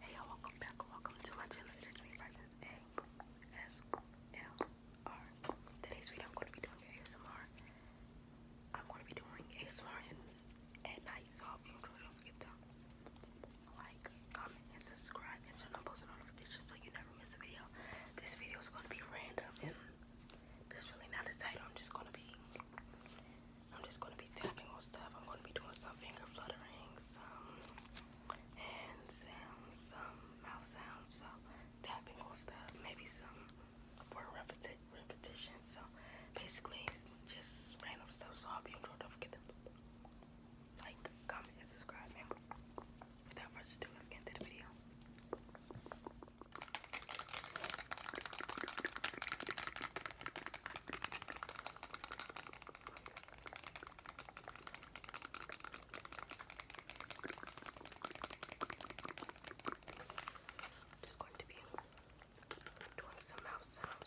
Hey y'all, welcome back. Welcome to my channel. It is me, Presence ASMR. Today's video, I'm going to be doing ASMR. I'm going to be doing ASMR in, at night, so I hope you enjoy. Don't forget to like, comment, and subscribe, and turn on post notifications so you never miss a video. This video is going to be random, there's really not a title. I'm just going to be, I'm just going to be tapping on stuff. I'm going to be doing some finger fluttering, some hand some mouth sounds, so tapping on stuff, maybe some word repetition. So basically, just random stuff. So I hope you enjoyed. do forget it like, comment, and subscribe. And without further ado, let's get into the video. Just going to be doing some mouth sounds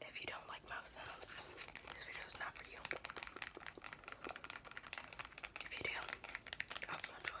If you don't like mouse sounds, this video is not for you. If you do, I hope you enjoy.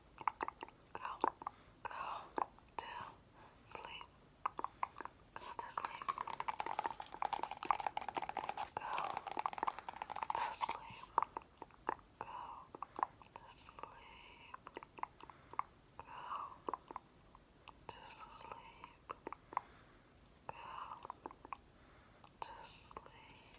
Go, go to sleep. Go to sleep. Go to sleep. Go to sleep. Go to sleep. Go to sleep.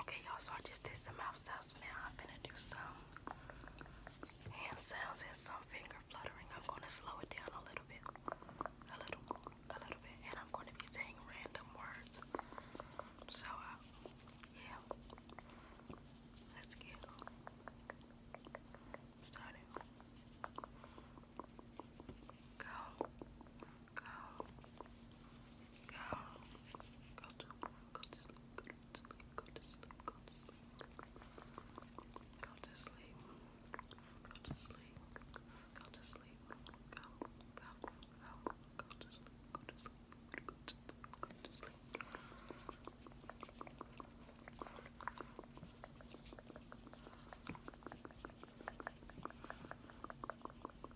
Okay, y'all, so I just did some mouth sounds. Now I'm gonna do some hand sounds and some finger fluttering. I'm gonna slow it down a little bit, a little, a little bit, and I'm gonna be saying random words. So, uh, yeah, let's get started. Go, go, go, go Go to sleep, go to sleep, go to sleep, go to sleep. Go to sleep. Go to sleep. Go to sleep. Go, go, go, go to sleep, go to sleep, go to sleep, go to sleep. Go to sleep.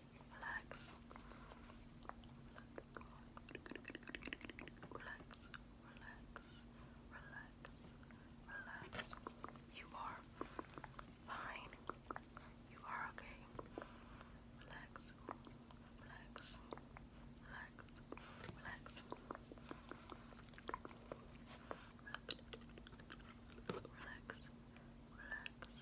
relax, relax, relax, relax, relax. You are fine. You are okay. Relax, relax, relax, relax. Relax, relax, relax,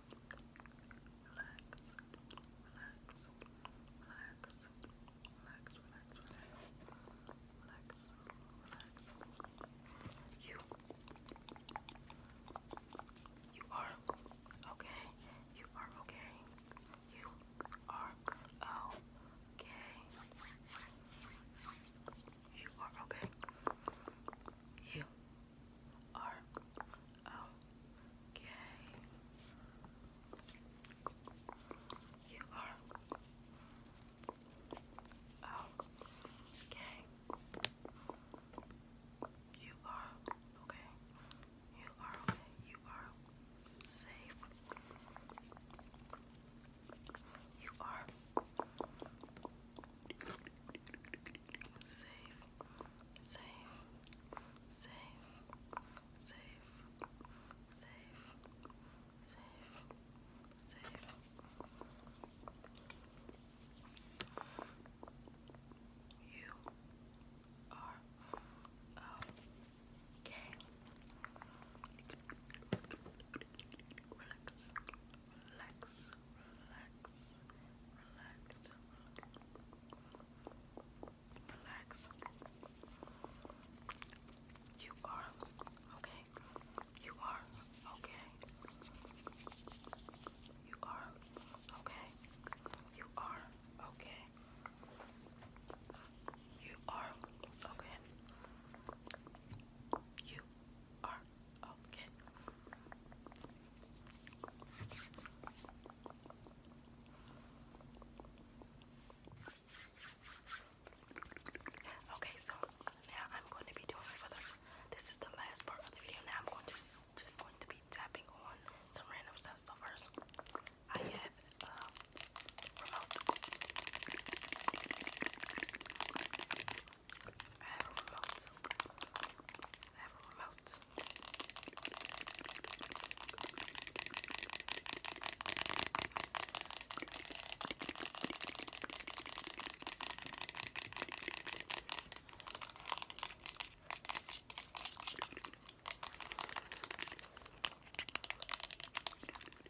relax. You, you are okay. You are okay. You are okay. You are okay. You are You are okay. You are okay. You are okay. You are safe. You are safe, safe, safe, safe, safe, safe, safe. You are okay. Relax, relax, relax, relax, relax. You are okay. You are okay. You are okay. You are okay. You are okay. You okay. Okay, so now I'm going to be doing for the, this is the last part of the video. Now I'm going to just going to be tapping on some random stuff. So first, I have um, remote. I have a remote. I have a remote.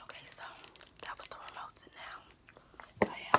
Okay, so that was the remote, now I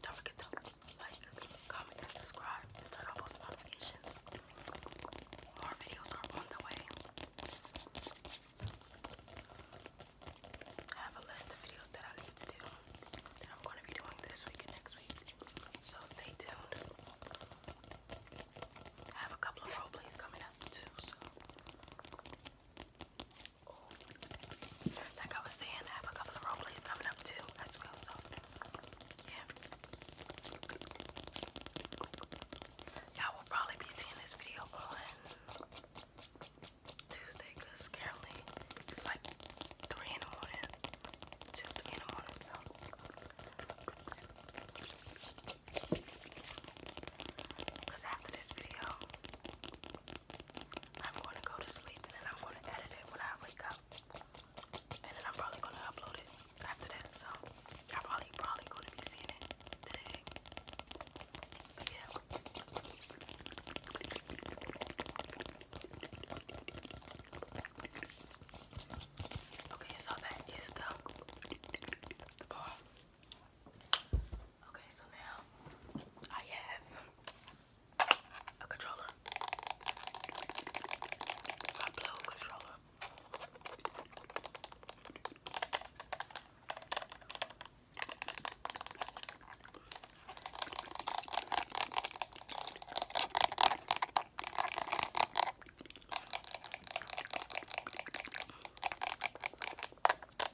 Don't forget to like, comment, and subscribe, turn on post notifications. More videos are on the way. I have a list of videos that I need to do that I'm going to be doing this week and next week, so stay tuned. I have a couple of roleplays coming up too, so like I was saying, I have a couple of role coming up too as well, so yeah. Y'all will probably be seeing this video on Tuesday because currently it's like 3 in the morning, 2, in the morning, so. Because after this video, I'm going to go to sleep and then I'm going to edit it when I wake up. And then I'm probably going to upload it after that. So y'all probably, probably going to be seeing it today. Okay, so that is the, Okay, so now I have a controller. My blue controller.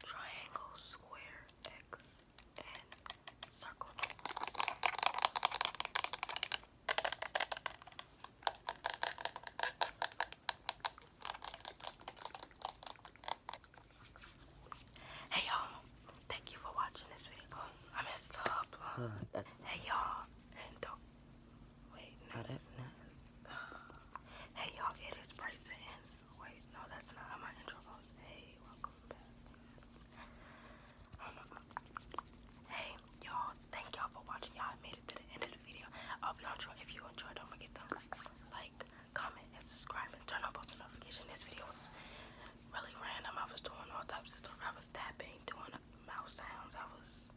Triangle, square, X. Hey y'all, thank you for watching this video. I messed up. Huh, that's hey y'all, and don't wait. No, that's not. hey y'all, it is Bryson. Wait, no, that's not my intro post. Hey, welcome. Hey, y'all, thank y'all for watching. Y'all made it to the end of the video. I hope y'all enjoyed. If you enjoyed, don't forget to like, comment, and subscribe, and turn on post notifications. This video was really random. I was doing all types of stuff. I was tapping, doing mouth sounds. I was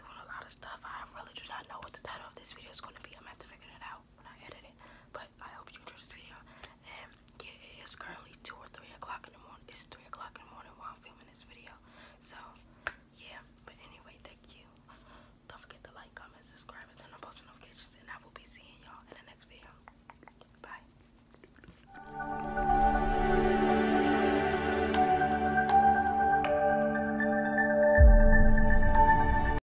doing a lot of stuff. I really do not know what the title of this video is going to be. I'm going to figure it out when I edit it. But I hope you enjoyed this video. And yeah, it is currently two or three o'clock in the morning. It's three o'clock in the morning while I'm filming this video. So yeah, but anyway, thank you. Don't forget to like, comment, subscribe, and turn on post notifications, and I will be seeing y'all in the next video. Bye.